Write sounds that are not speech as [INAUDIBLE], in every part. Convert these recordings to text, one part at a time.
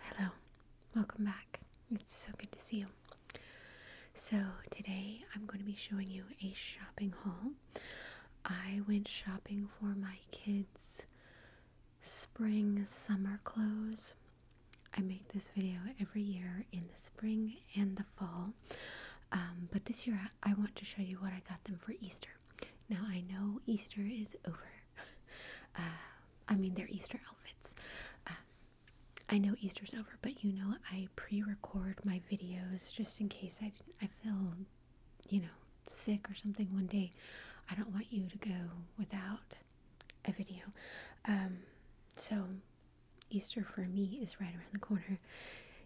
Hello, welcome back. It's so good to see you. So, today I'm going to be showing you a shopping haul. I went shopping for my kids' spring summer clothes. I make this video every year in the spring and the fall. Um, but this year I, want to show you what I got them for Easter. Now I know Easter is over. [LAUGHS] Uh, I mean, they're Easter outfits. Uh, I know Easter's over, but you know I pre-record my videos just in case I I feel, you know, sick or something one day. I don't want you to go without a video. Um, so Easter for me is right around the corner.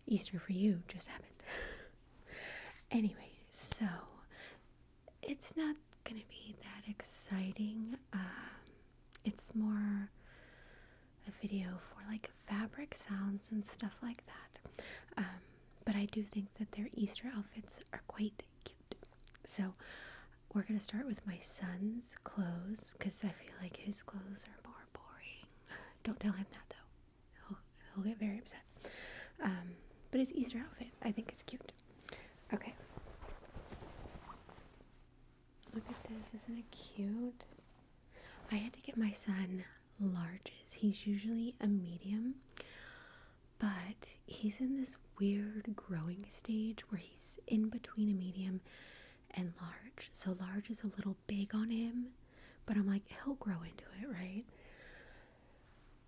Easter for you just happened. [LAUGHS] anyway, so it's not gonna be that exciting. Um, it's more a video for like fabric sounds and stuff like that. Um, but I do think that their Easter outfits are quite cute. So we're gonna start with my son's clothes because I feel like his clothes are more boring. Don't tell him that though. He'll, he'll get very upset. Um, but his Easter outfit, I think it's cute. Okay. Look at this. Isn't it cute? I had to get my son larges. He's usually a medium, but he's in this weird growing stage where he's in between a medium and large. So large is a little big on him, but I'm like, he'll grow into it, right?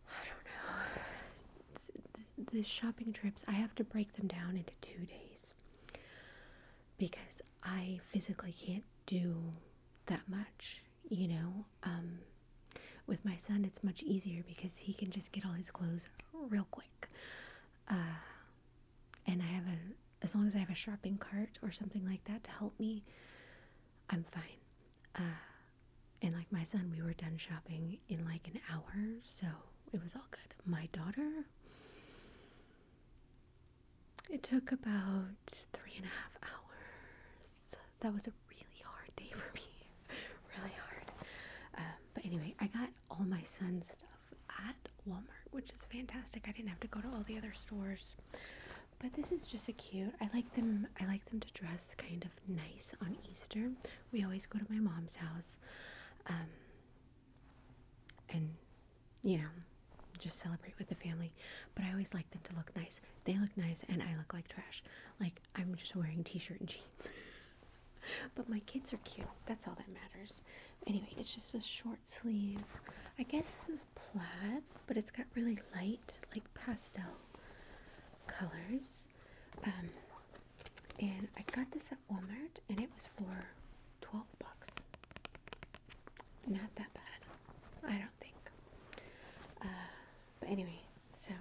I don't know. [SIGHS] The, shopping trips, I have to break them down into two days because I physically can't do that much, you know? Um, with my son, it's much easier because he can just get all his clothes real quick. Uh, and I have a as long as I have a shopping cart or something like that to help me, I'm fine. Uh, and like my son, we were done shopping in like an hour, so it was all good. My daughter, it took about three and a half hours. That was a really hard day for me, [LAUGHS] really hard. Um, but anyway, I got all my son's at Walmart, which is fantastic. I didn't have to go to all the other stores. But this is just a cute. I like them I like them to dress kind of nice on Easter. We always go to my mom's house. Um and you know, just celebrate with the family. But I always like them to look nice. They look nice and I look like trash. Like I'm just wearing t-shirt and jeans. [LAUGHS] but my kids are cute. That's all that matters. Anyway, it's just a short sleeve. I guess this is plaid, but it's got really light, like pastel colors. Um, and I got this at Walmart, and it was for 12 bucks. Not that bad, I don't think. Uh, but anyway, so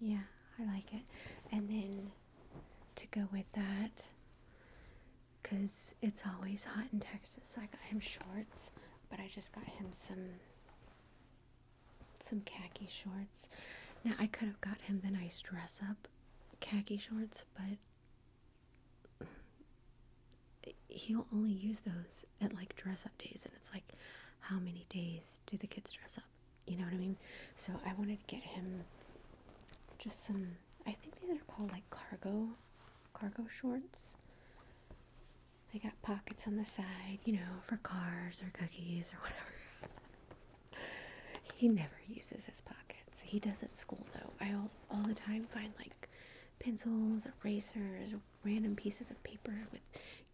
yeah, I like it. And then to go with that, because it's always hot in Texas. So I got him shorts, but I just got him some some khaki shorts. Now I could have got him the nice dress up khaki shorts, but he'll only use those at like dress up days and it's like how many days do the kids dress up? You know what I mean? So I wanted to get him just some I think these are called like cargo cargo shorts. They got pockets on the side, you know, for cars or cookies or whatever. he never uses his pockets. He does at school though. I all, all the time find like pencils, erasers, random pieces of paper with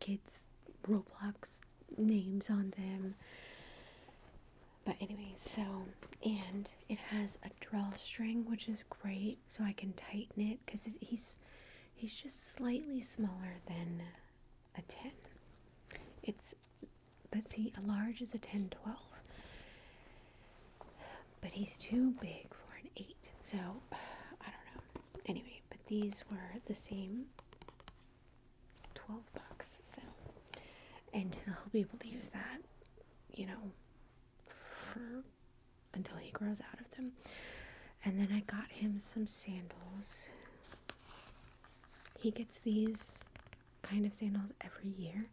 kids Roblox names on them. But anyway, so and it has a drawstring, which is great so I can tighten it because he's he's just slightly smaller than a 10. It's let's see, a large is a 10 12. But he's too big for an 8. So I don't know. Anyway, but these were the same 12 bucks. So and he'll [LAUGHS] be able to use that, you know, for until he grows out of them. And then I got him some sandals. He gets these kind of sandals every year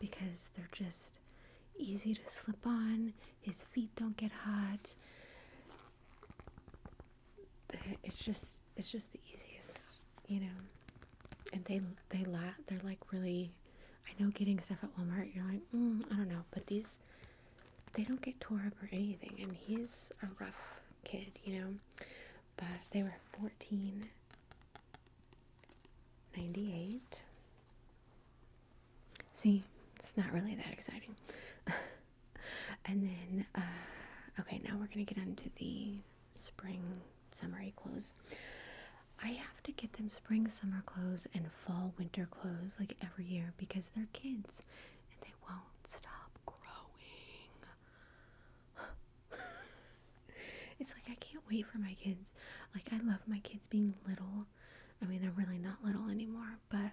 because they're just easy to slip on. His feet don't get hot. It's just it's just the easiest, you know. And they they la- they're like really I know getting stuff at Walmart, you're like, mm, I don't know, but these, they don't get tore up or anything. And he's a rough kid, you know. But they were fourteen. Ninety eight. See, it's not really that exciting. [LAUGHS] and then, uh, okay, now we're gonna get on to the spring summer clothes. I have to get them spring summer clothes and fall winter clothes like every year because they're kids and they won't stop growing. [LAUGHS] it's like I can't wait for my kids. Like I love my kids being little. I mean, they're really not little anymore, but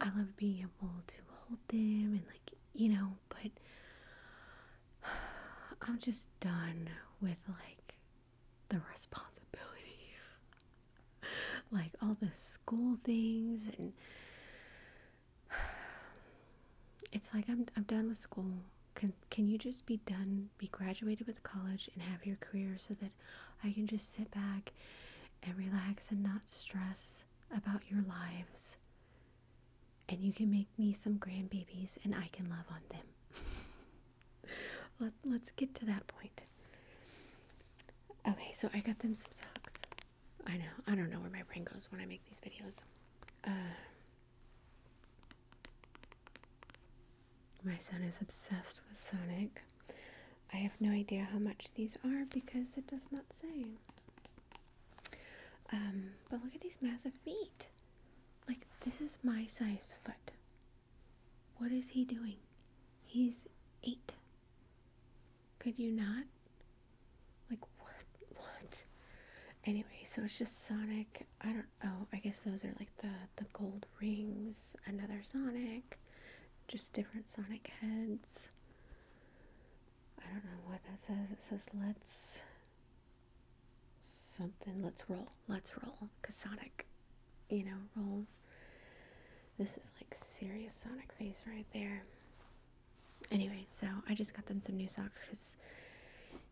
I love being able to hold them and like, you know, but [SIGHS] I'm just done with like the responsibility, [LAUGHS] like all the school things, and [SIGHS] it's like I'm I'm done with school. Can can you just be done, be graduated with college, and have your career so that I can just sit back and relax and not stress about your lives? And you can make me some grandbabies, and I can love on them. [LAUGHS] Let, us get to that point. Okay, so I got them some socks. I know, I don't know where my brain goes when I make these videos. Uh, my son is obsessed with Sonic. I have no idea how much these are because it does not say. Um, but look at these massive feet. Like, this is my size foot. What is he doing? He's eight. Could you not? Like, what? What? Anyway, so it's just Sonic. I don't. Oh, I guess those are like the the gold rings. Another Sonic. Just different Sonic heads. I don't know what that says. It says let's something. Let's roll let's roll. Because Sonic, you know, rolls. This is like serious Sonic face right there. Anyway, so I just got them some new socks because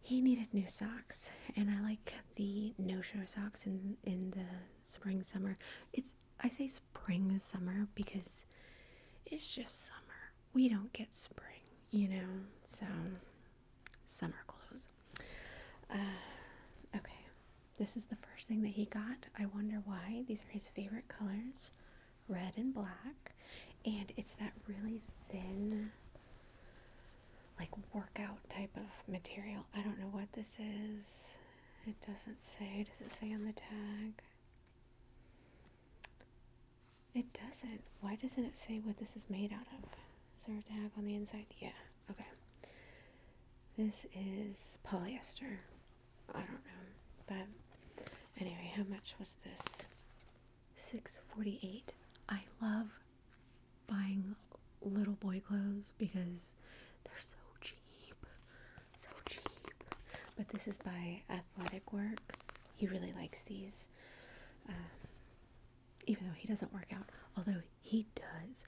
he needed new socks. And I like the no-show socks in, in the spring, summer. It's I say spring, summer because it's just summer. We don't get spring, you know? So summer clothes. Uh, okay, this is the first thing that he got. I wonder why. These are his favorite colors red and black. And it's that really thin, like workout type of material. I don't know what this is. It doesn't say. Does it say on the tag? It doesn't. Why doesn't it say what this is made out of? Is there a tag on the inside? Yeah. Okay. This is polyester. I don't know. But anyway, how much was this? 648. I love buying little boy clothes because they're so cheap. So cheap. But this is by Athletic Works. He really likes these. Uh, even though he doesn't work out, although he does.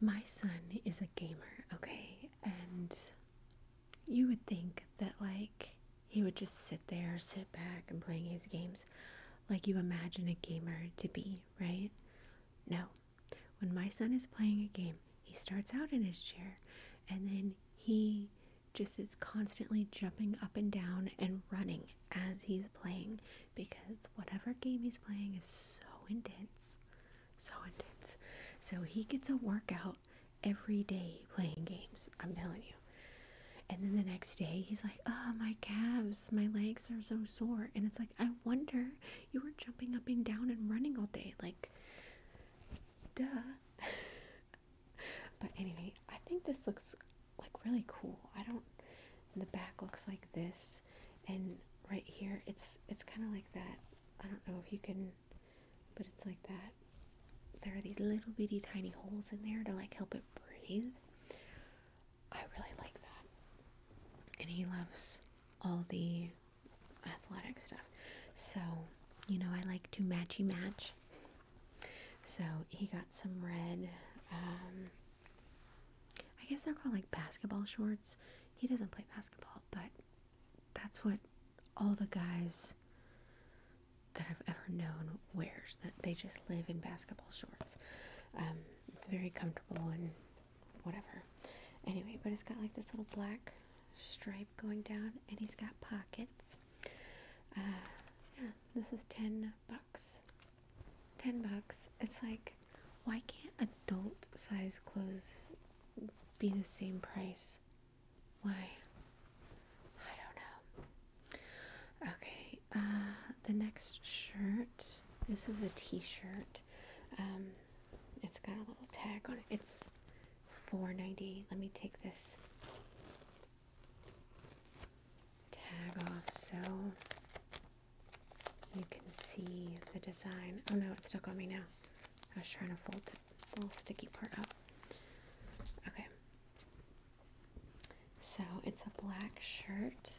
My son is a gamer, okay? And you would think that, like, he would just sit there, sit back, and playing his games like you imagine a gamer to be, right? No. When my son is playing a game, he starts out in his chair and then he just is constantly jumping up and down and running as he's playing because whatever game he's playing is so intense. So intense. So he gets a workout every day playing games. I'm telling you. And then the next day, he's like, Oh, my calves, my legs are so sore. And it's like, I wonder you were jumping up and down and running all day. Like, duh. [LAUGHS] but anyway, I think this looks like really cool. I don't the back looks like this and right here it's it's kind of like that. I don't know if you can but it's like that. There are these little bitty tiny holes in there to like help it breathe. I really like that. And he loves all the athletic stuff. So, you know, I like to matchy match. So he got some red um, I guess they're called like basketball shorts. He doesn't play basketball, but that's what all the guys that I've ever known wears. That they just live in basketball shorts. Um, it's very comfortable and whatever. Anyway, but it's got like this little black stripe going down, and he's got pockets. Uh, yeah, this is ten bucks. Ten bucks. It's like, why can't adult size clothes be the same price? Why? I don't know. Okay, uh, the next shirt. This is a t shirt. Um, it's got a little tag on it. It's four ninety. Let me take this tag off so you can see the design. Oh no, it stuck on me now. I was trying to fold the little sticky part up. Okay. So it's a black shirt.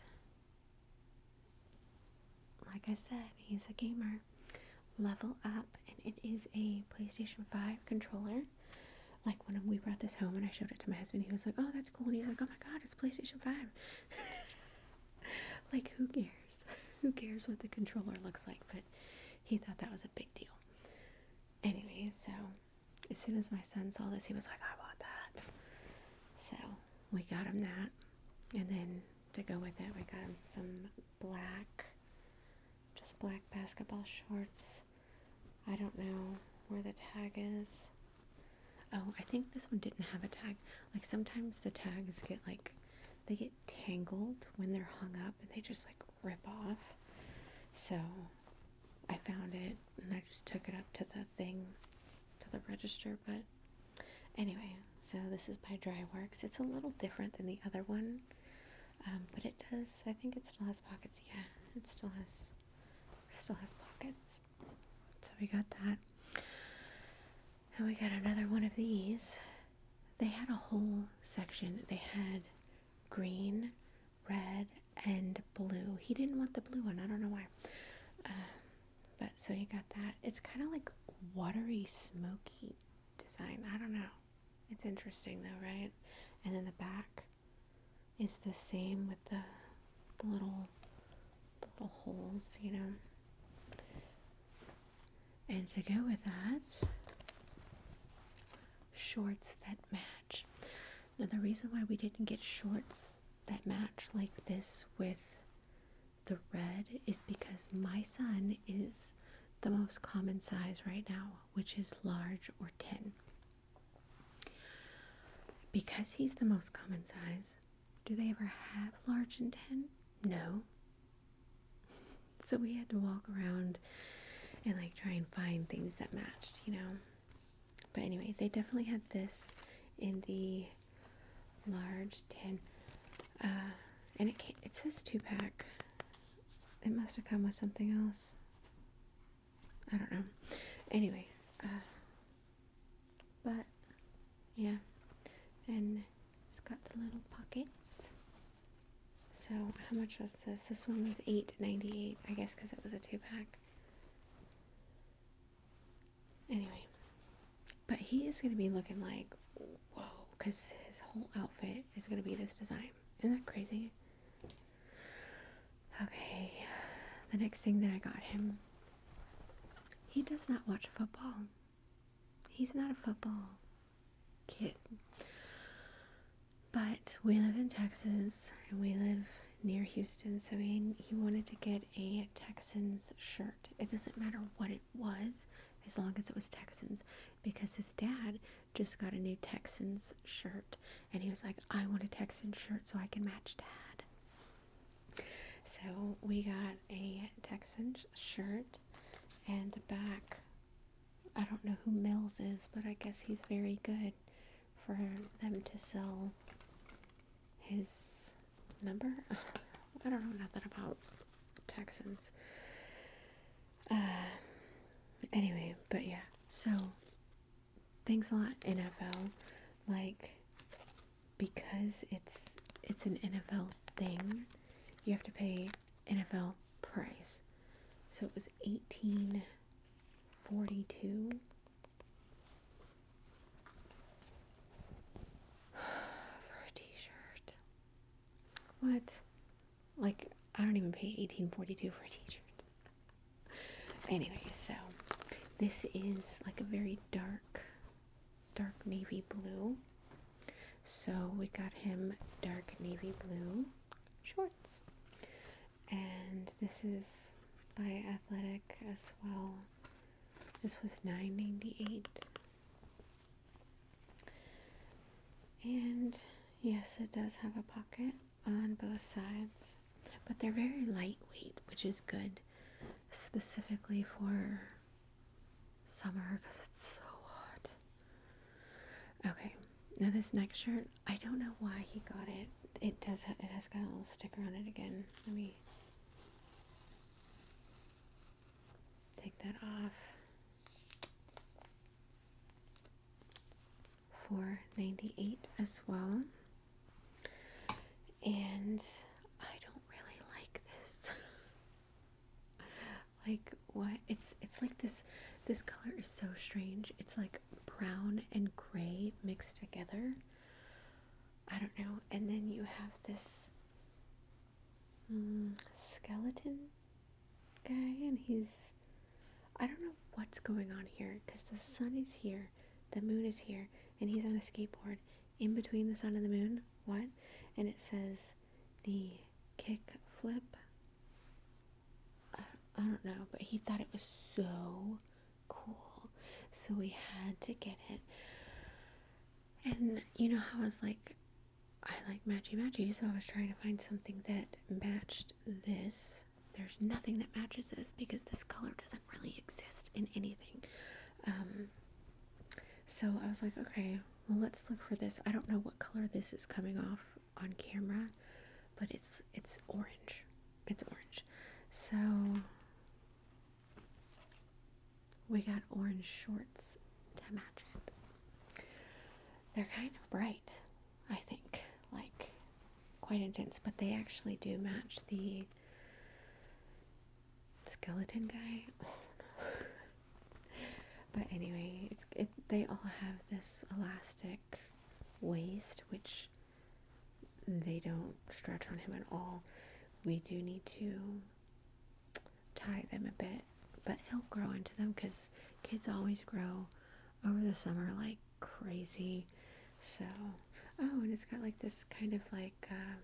Like I said, he's a gamer. Level up, and it is a PlayStation 5 controller. Like when we brought this home and I showed it to my husband, he was like, Oh, that's cool. And he's like, Oh my god, it's PlayStation 5. [LAUGHS] like, who cares? [LAUGHS] Who cares what the controller looks like? But he thought that was a big deal. Anyway, so as soon as my son saw this, he was like, I want that. So we got him that. And then to go with it, we got him some black, just black basketball shorts. I don't know where the tag is. Oh, I think this one didn't have a tag. Like sometimes the tags get like they get tangled when they're hung up and they just like rip off. So I found it and I just took it up to the thing to the register, but anyway, so this is by Dryworks. It's a little different than the other one. Um, but it does I think it still has pockets, yeah. It still has still has pockets. So we got that. And we got another one of these. They had a whole section. They had green, red, and blue. He didn't want the blue one. I don't know why. Um, but so he got that. It's kind of like watery, smoky design. I don't know. It's interesting though, right? And then the back is the same with the the little little holes, you know. And to go with that, shorts that match. Now the reason why we didn't get shorts that match like this with the red is because my son is the most common size right now, which is large or 10. Because he's the most common size, do they ever have large tin? No. so we had to walk around and like try and find things that matched, you know. But anyway, they definitely had this in the large tin. Uh, and it can it says two pack. It must have come with something else. I don't know. Anyway, uh, but yeah, and it's got the little pockets. So how much was this? This one was eight ninety eight, I guess, because it was a two pack. Anyway, but he is gonna be looking like whoa, because his whole outfit is gonna be this design. Isn't that crazy? Okay, the next thing that I got him he does not watch football. He's not a football kid. But we live in Texas and we live near Houston, so he, wanted to get a Texans shirt. It doesn't matter what it was, as long as it was Texans, because his dad just got a new Texans shirt and he was like, I want a Texans shirt so I can match dad. So we got a Texans shirt and the back. I don't know who Mills is, but I guess he's very good for them to sell his number. [LAUGHS] I don't know nothing about Texans. Uh, anyway, but yeah, so thanks a lot, NFL. Like, because it's it's an NFL thing, you have to pay NFL price. So it was eighteen forty two. [SIGHS] For a t-shirt. What? Like I don't even pay eighteen forty two for a t-shirt. anyway, so this is like a very dark dark navy blue. So we got him dark navy blue shorts. And this is by Athletic as well. This was nine ninety eight, And yes, it does have a pocket on both sides, but they're very lightweight, which is good specifically for summer because it's so hot. Okay, now this next shirt, I don't know why he got it. It does. it has got a little sticker on it again. Let me take that off. Four ninety eight as well. And I don't really like this. [LAUGHS] like what? It's it's like this this color is so strange. It's like brown and gray mixed together. I don't know. And then you have this mm, skeleton guy and he's I don't know what's going on here because the sun is here, the moon is here, and he's on a skateboard in between the sun and the moon. What? And it says the kick flip. I, don't know, but he thought it was so cool. So we had to get it. And you know how I was like, I like matchy matchy, so I was trying to find something that matched this. There's nothing that matches this because this color doesn't really exist in anything. Um, so I was like, okay, well let's look for this. I don't know what color this is coming off on camera, but it's it's orange. It's orange. So we got orange shorts to match it. They're kind of bright, I think, like quite intense, but they actually do match the skeleton guy. but anyway, it's it, they all have this elastic waist, which they don't stretch on him at all. We do need to tie them a bit, but he'll grow into them because kids always grow over the summer like crazy. So, oh, and it's got like this kind of like um,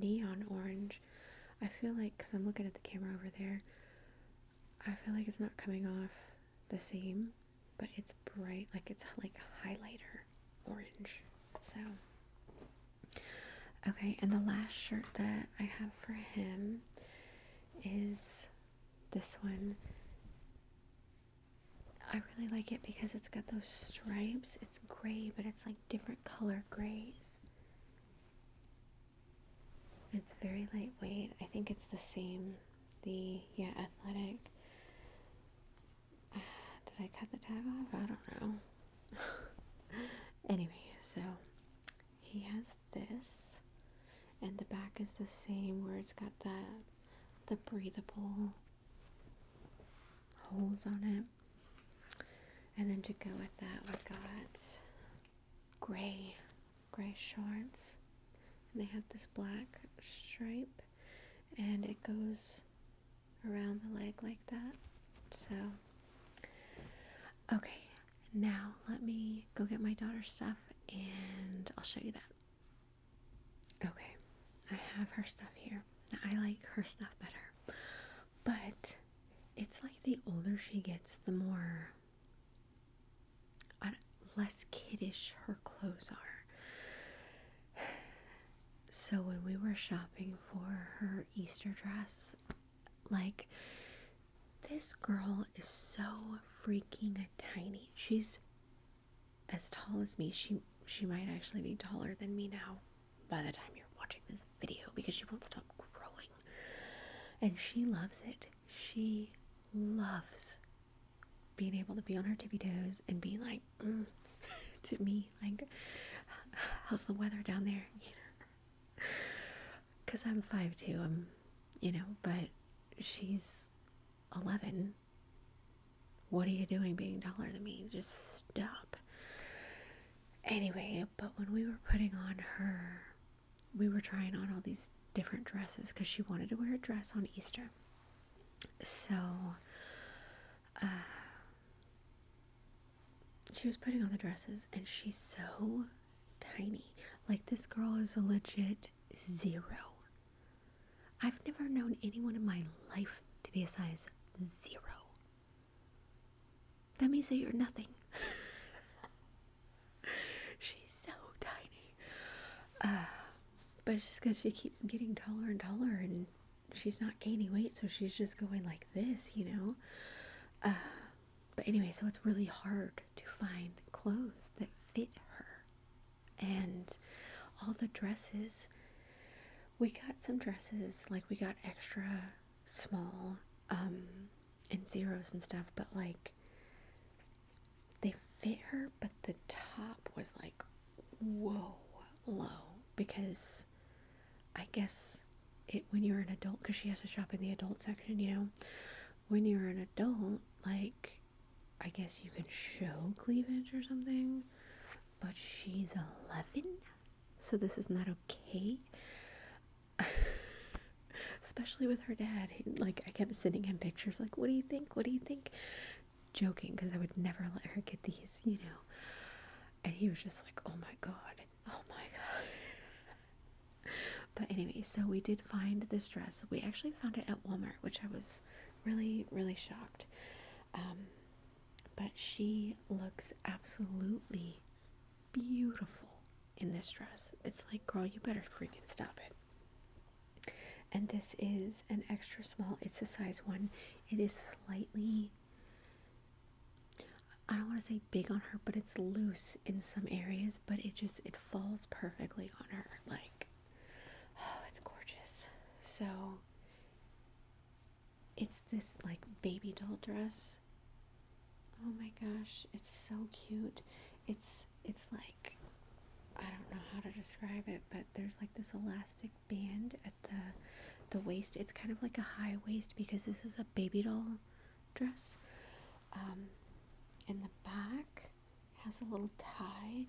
neon orange. I feel like, because I'm looking at the camera over there, I feel like it's not coming off the same, but it's bright, like it's like a highlighter orange. So, okay, and the last shirt that I have for him is this one. I really like it because it's got those stripes. It's gray, but it's it's like different color grays. It's very lightweight. I think it's the same. The, yeah, athletic. [SIGHS] did I cut the tag off? I don't know. [LAUGHS] anyway, so he has this. And the back is the same where it's got the, the breathable holes on it. And then to go with that, we got gray, gray shorts, and they have this black stripe, and it goes around the leg like that. So, okay, now let me go get my daughter's stuff, and I'll show you that. Okay, I have her stuff here. I like her stuff better. But it's like the older she gets, the more less kiddish her clothes are. So when we were shopping for her Easter dress, like this girl is so freaking tiny. She's as tall as me. She she might actually be taller than me now by the time you're watching this video because she won't stop growing. And she loves it. She loves being able to be on her tippy toes and be like, mm, [LAUGHS] to me, like, how's the weather down there? Because [LAUGHS] I'm five 5'2, I'm, you know, but she's 11. What are you doing being taller than me? Just stop. Anyway, but when we were putting on her, we were trying on all these different dresses because she wanted to wear a dress on Easter. So, uh, she was putting on the dresses and she's so tiny. Like, this girl is a legit zero. I've never known anyone in my life to be a size zero. That means that you're nothing. [LAUGHS] She's so tiny. Uh, but it's just because she keeps getting taller and taller and she's not gaining weight, so she's just going like this, you know? Uh, but anyway, so it's really hard to find clothes that fit her. And all the dresses we got some dresses like we got extra small um and zeros and stuff but like they fit her but the top was like whoa low because i guess it when you're an adult because she has to shop in the adult section you know when you're an adult like i guess you can show cleavage or something but she's 11, so this is not okay. [LAUGHS] Especially with her dad. Like, I kept sending him pictures, like, what do you think? What do you think? Joking, because I would never let her get these, you know. And he was just like, oh my god, oh my god. [LAUGHS] but anyway, so we did find this dress. We actually found it at Walmart, which I was really, really shocked. Um, but she looks absolutely beautiful in this dress. It's like, girl, you better freaking stop it. And this is an extra small, it's a size one. It is slightly, I don't want to say big on her, but it's loose in some areas, but it just, it falls perfectly on her. Like, oh, [SIGHS] it's gorgeous. So, it's this like baby doll dress. Oh my gosh, it's so cute. It's it's like I don't know how to describe it, but there's like this elastic band at the the waist. It's kind of like a high waist because this is a baby doll dress. Um, and the back has a little tie.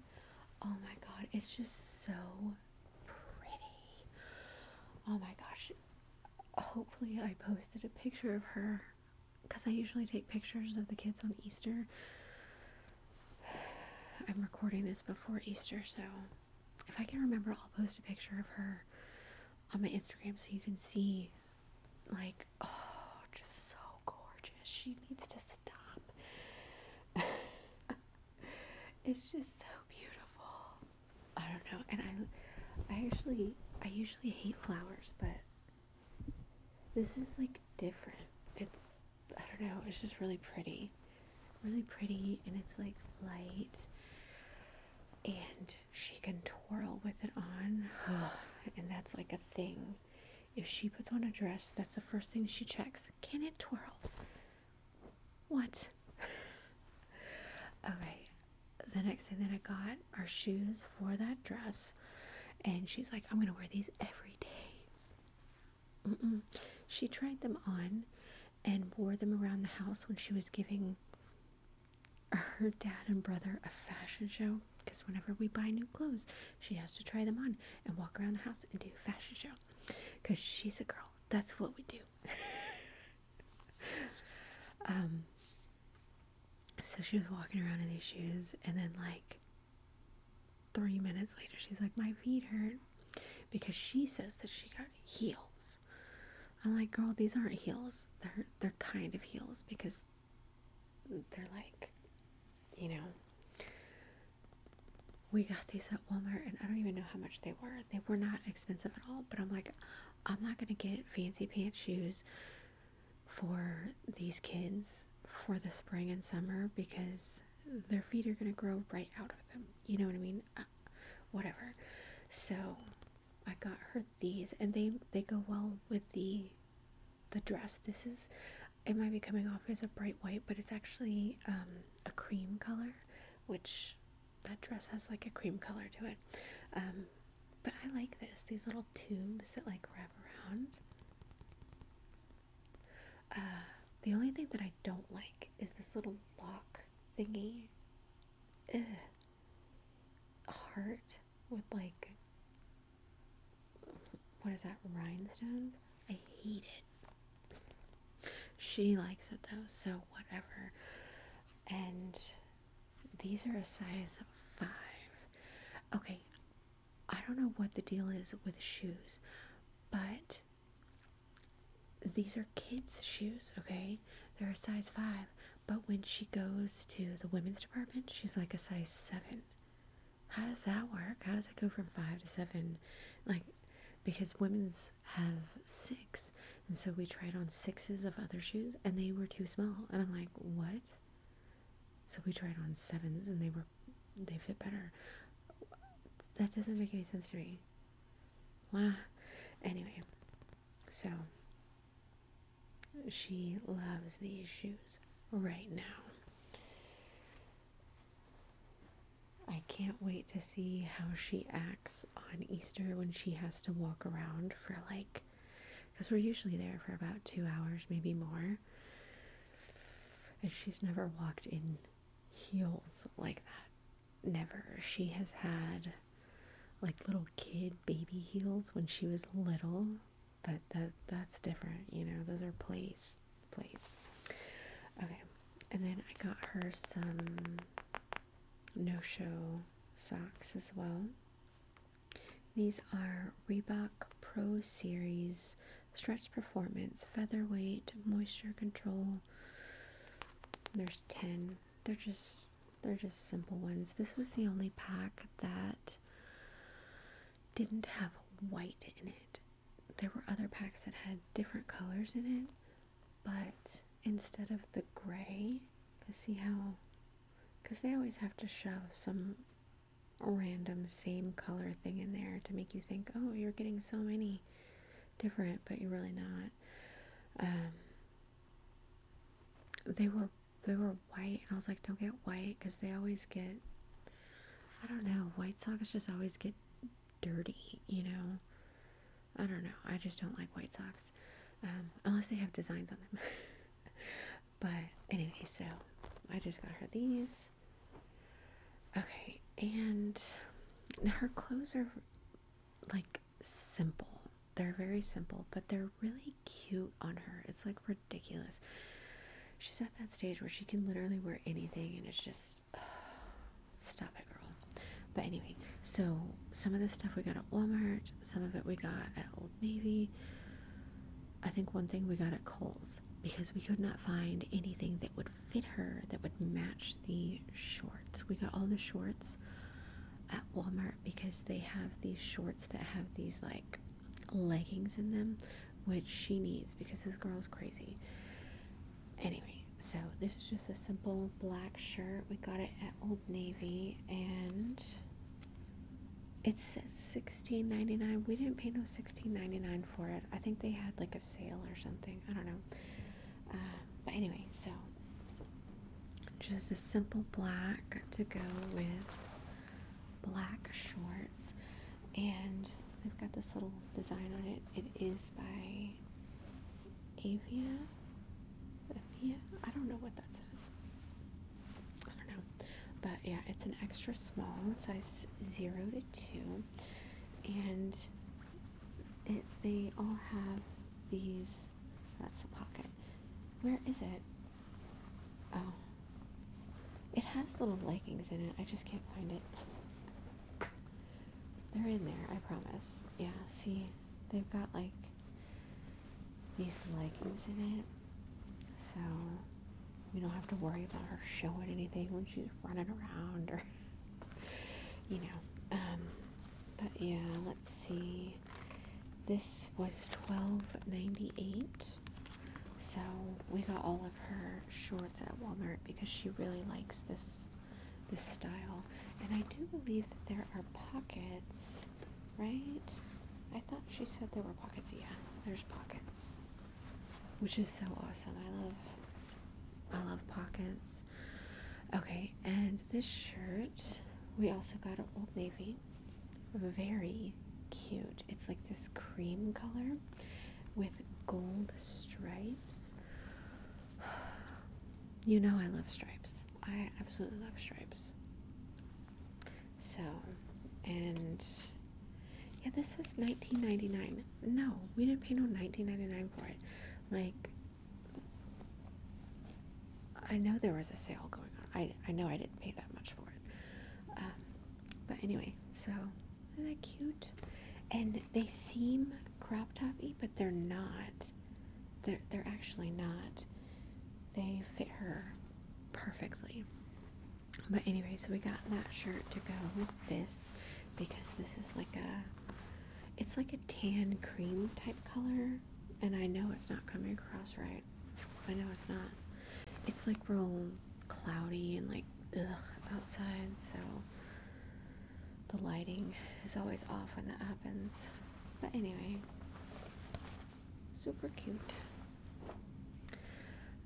Oh my god, it's just so pretty. Oh my gosh. Hopefully, I posted a picture of her because I usually take pictures of the kids on Easter. [SIGHS] I'm recording this before Easter, so if I can remember, I'll post a picture of her on my Instagram so you can see, like, oh, just so gorgeous. She needs to stop. [LAUGHS] it's just so beautiful. I don't know, and I, I actually, I usually hate flowers, but this is like different. It's, I don't know, it's just really pretty, really pretty, and it's like light, and she can twirl with it on, [SIGHS] and that's like a thing. If she puts on a dress, that's the first thing she checks. Can it twirl? What? [LAUGHS] okay. The next thing that I got are shoes for that dress. And she's like, I'm going to wear these every day. She tried them on and wore them around the house when she was giving her dad and brother a fashion show because whenever we buy new clothes she has to try them on and walk around the house and do fashion show because she's a girl that's what we do [LAUGHS] [LAUGHS] um, so she was walking around in these shoes, and then like three minutes later, she's like, "My feet hurt," because she says that she got heels. I'm like, "Girl, these aren't heels. They're they're kind of heels because they're like, you know." We got these at Walmart and I don't even know how much they were. They were not expensive at all, but I'm like, I'm not going to get fancy pants shoes for these kids for the spring and summer because their feet are going to grow right out of them. You know what I mean? Uh, whatever. So I got her these and they they go well with the the dress. This is it might be coming off as a bright white, but it's actually um, a cream color, which that dress has like a cream color to it. Um, but I like this. These little tubes that like wrap around. Uh, the only thing that I don't like is this little lock thingy. Ugh. Heart with like, what is that, rhinestones? I hate it. She likes it though, so whatever and these are a size five. Okay, I don't know what the deal is with shoes, but these are kids' shoes, okay? They're a size five, but when she goes to the women's department, she's like a size seven. How does that work? How does it go from five to seven? Like, because women's have six. And so we tried on sixes of other shoes and they were too small. And I'm like, what? So we tried on sevens and they were, they fit better. That doesn't make any sense to me. Why? Anyway, so she loves these shoes right now. I can't wait to see how she acts on Easter when she has to walk around for like, because we're usually there for about two hours, maybe more. And she's never walked in heels like that. Never. She has had like little kid baby heels when she was little, but that that's different, you know. Those are plays, plays. Okay. And then I got her some no-show socks as well. These are Reebok Pro Series Stretch Performance Featherweight Moisture Control. There's 10. They're just they're just simple ones. This was the only pack that didn't have white in it. There were other packs that had different colors in it, but instead of the gray, because see how, because they always have to shove some random same color thing in there to make you think, oh, you're getting so many different, but you're really not. Um, they were they were white, and I was like, don't get white, because they always get, I don't know, white socks just always get dirty, you know. I don't know. I just don't like white socks. Um, unless they have designs on them. [LAUGHS] but anyway, so I just got her these. Okay, and her clothes are like simple. They're very simple, but they're really cute on her. It's like ridiculous. She's at that stage where she can literally wear anything, and it's just, [SIGHS] stop it, girl. But anyway, so some of this stuff we got at Walmart, some of it we got at Old Navy. I think one thing we got at Kohl's because we could not find anything that would fit her that would match the shorts. We got all the shorts at Walmart because they have these shorts that have these like leggings in them, which she needs because this girl's crazy. Anyway, so this is just a simple black shirt. We got it at Old Navy and it says sixteen ninety nine. We didn't pay no sixteen ninety nine for it. I think they had like a sale or something. I don't know. Uh, but anyway, so just a simple black to go with black shorts, and i have got this little design on it. It is by Avia yeah, I don't know what that says. I don't know. But yeah, it's an extra small, size 0 to 2. And it, they all have these. That's the pocket. Where is it? Oh. It has little leggings in it. I just can't find it. They're in there, I promise. Yeah, see? they've got like these leggings in it, so we don't have to worry about her showing anything when she's running around or [LAUGHS] you know. Um, but yeah, let's see. This was twelve ninety eight. So we got all of her shorts at Walmart because she really likes this this style. And I do believe that there are pockets, right? I thought she said there were pockets. Yeah, there's pockets. Which is so awesome. I love I love pockets. Okay, and this shirt we also got an Old Navy. Very cute. It's like this cream color with gold stripes. [SIGHS] You know I love stripes. I absolutely love stripes. So, and yeah, this says 1999. No, we didn't pay no 1999 for it. Like, I know there was a sale going on. I, I know I didn't pay that much for it. Um, but anyway, so isn't that cute? And they seem crop toppy, but they're not. They're, they're actually not. They fit her perfectly. But anyway, so we got that shirt to go with this because this is like a, it's like a tan cream type color. And I know it's not coming across right. I know it's not. It's like real cloudy and like ugh outside, so the lighting is always off when that happens. But anyway, super cute.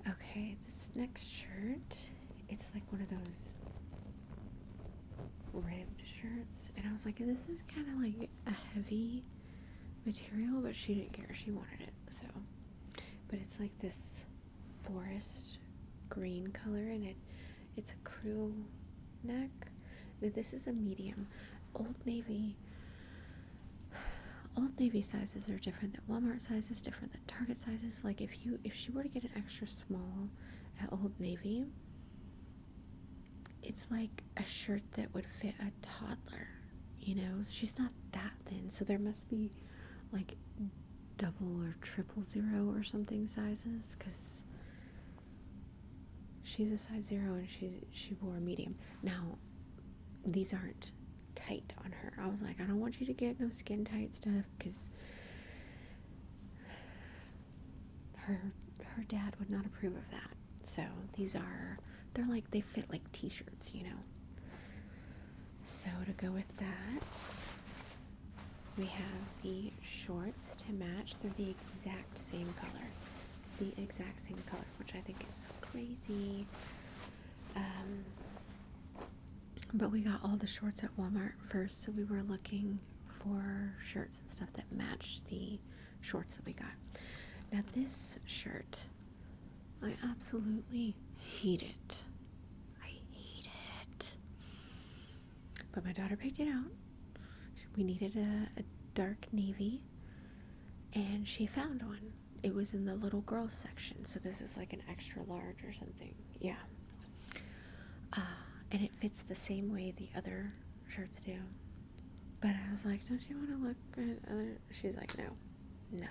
Okay, this next shirt, it's like one of those ribbed shirts. And I was like, this is kind of like a heavy material, but she didn't care. She wanted it. So, but it's like this forest green color and it it's a crew neck. this is a medium. Old Navy. Old Navy sizes are different That Walmart sizes, different than Target sizes. Like if you if she were to get an extra small at Old Navy, it's like a shirt that would fit a toddler. You know, she's not that thin, so there must be like double or triple zero or something sizes because She's a size zero and she's she wore a medium. Now, these aren't tight on her. I was like, I don't want you to get no skin tight stuff because her her dad would not approve of that. So these are they're like they fit like t-shirts, you know. So to go with that, we have the shorts to match. They're the exact same color the exact same color, which I think is crazy. Um, but we got all the shorts at Walmart first, so we were looking for shirts and stuff that matched the shorts that we got. Now, this shirt, I absolutely hate it. I hate it. But my daughter picked it out we needed a, dark navy and she found one it was in the little girls section so this is like an extra large or something yeah uh, and it fits the same way the other shirts do but i was like don't you want to look good? she's like no no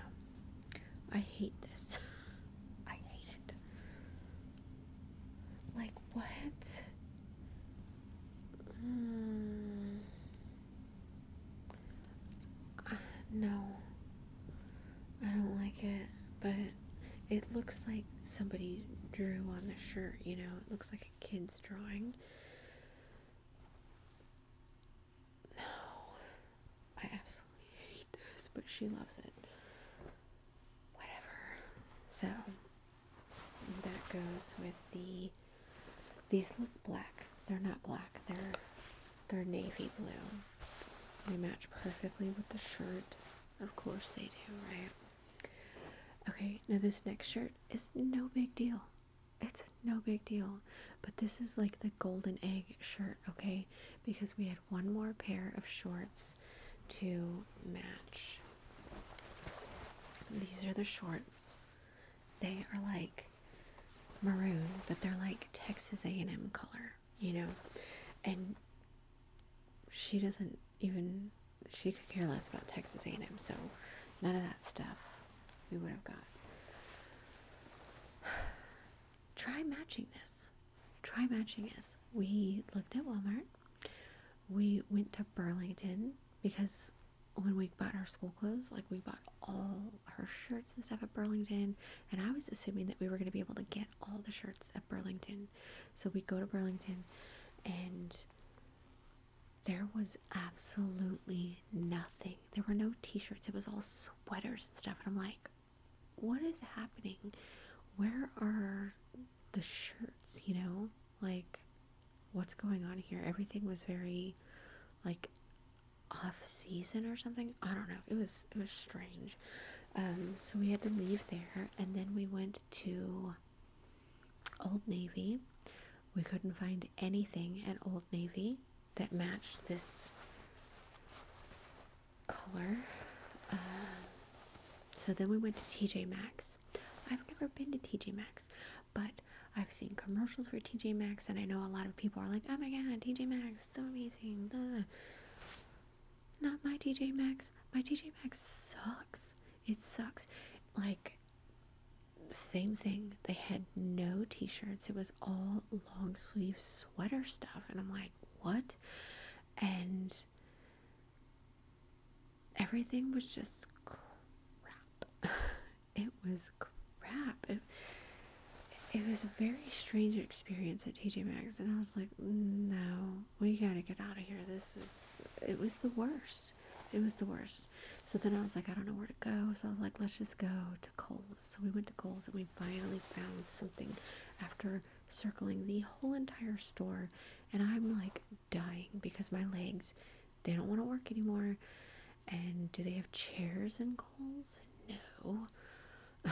i hate this [LAUGHS] i hate it like what Hmm. Uh, no, I don't like it, but it looks like somebody drew on the shirt, you know, it looks like a kid's drawing. No, I absolutely hate this, but she loves it. Whatever. So. And that goes with the these look black. They're not black. They're they're navy blue. They match perfectly with the shirt. Of course they do, right? Okay, now this next shirt is no big deal. It's no big deal. But this is like the golden egg shirt, okay? Because we had one more pair of shorts to match. These are the shorts. They are like maroon, but they're like Texas A&M color, you know. And she doesn't even she could care less about Texas A&M, so none of that stuff we would have got. [SIGHS] Try matching this. Try matching this. We looked at Walmart. We went to Burlington because when we bought her school clothes, like we bought all her shirts and stuff at Burlington, and I was assuming that we were going to be able to get all the shirts at Burlington. So we go to Burlington, and there was absolutely nothing. There were no t shirts, it was all sweaters and stuff. And I'm like, what is happening? Where are the shirts, you know? like what's going on here everything was very like off season or something i don't know it was it was strange um, so we had to leave there and then we went to old navy we couldn't find anything at old navy that matched this color um, so then we went to tj maxx i've never been to tj maxx but I've seen commercials for TJ Maxx, and I know a lot of people are like, "Oh my God, TJ Maxx, so amazing!" Not my TJ Maxx. My TJ Maxx sucks. It sucks. Like, same thing. They had no T-shirts. It was all long sleeve sweater stuff, and I'm like, what? And everything was just crap. [LAUGHS] it was crap. It, it was a very strange experience at TJ Maxx, and I was like, no, we gotta get out of here. This is, it was the worst. It was the worst. So then I was like, I don't know where to go. So I was like, let's just go to Kohl's. So we went to Kohl's and we finally found something after circling the whole entire store. And I'm like dying because my legs they don't want to work anymore. And do they have chairs and goals? No. [LAUGHS] I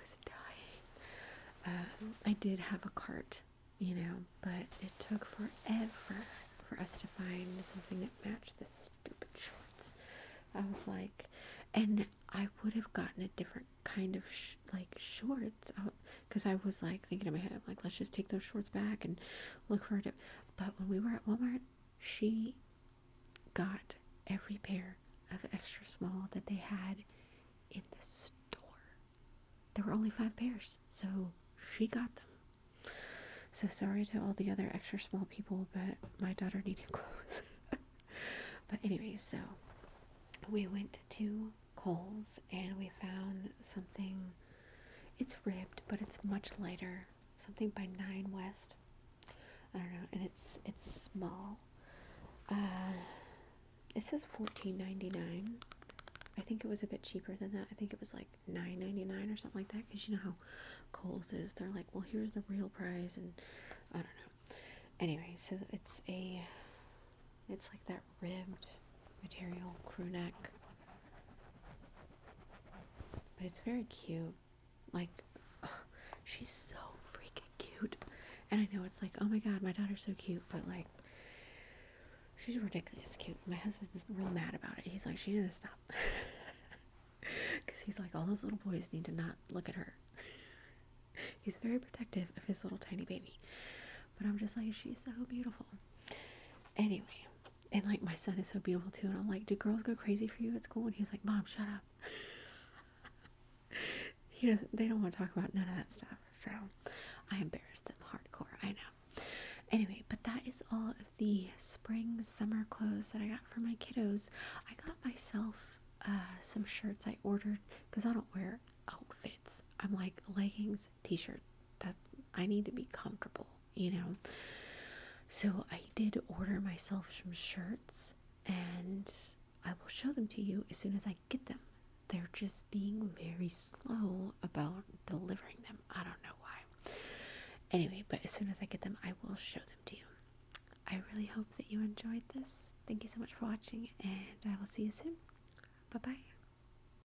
was dying. Um, I did have a cart, you know, but it took forever for us to find something that matched the stupid shorts. I was like, and I would have gotten a different kind of like shorts because I was like thinking in my head, I'm like, let's just take those shorts back and look for it. But when we were at Walmart, she got every pair of extra small that they had in the store. There were only five pairs, so she got them. So sorry to all the other extra small people, but my daughter needed [LAUGHS] clothes. but anyway, so we went to Coles and we found something. It's ribbed, but it's much lighter. Something by Nine West. I don't know, and it's it's small. Uh, it says fourteen ninety nine. I think it was a bit cheaper than that. I think it was like nine ninety nine or something like that. Cause you know how Kohl's is. They're like, well, here's the real price, and I don't know. Anyway, so it's a, it's like that ribbed material crew neck. But it's very cute. Like, she's so freaking cute. And I know it's like, oh my god, my daughter's so cute, but like, she's ridiculously cute. My husband is real mad about it. He's like, she needs to stop. Because [LAUGHS] he's like, all those little boys need to not look at her. [LAUGHS] he's very protective of his little tiny baby but I'm just like, she's so beautiful. Anyway, and like my son is so beautiful too, and I'm like, do girls go crazy for you at school? And he's like, Mom, shut up. [LAUGHS] he doesn't. They don't want to talk about none of that stuff. So I embarrassed them hardcore. I know. Anyway, but that is all of the spring summer clothes that I got for my kiddos. I got myself uh, some shirts I ordered because I don't wear outfits. I'm like leggings t-shirt that I need to be comfortable, you know. So I did order myself some shirts and I will show them to you as soon as I get them. They're just being very slow about delivering them. I don't know why. Anyway, but as soon as I get them, I will show them to you. I really hope that you enjoyed this. Thank you so much for watching, and I will see you soon. Bye bye.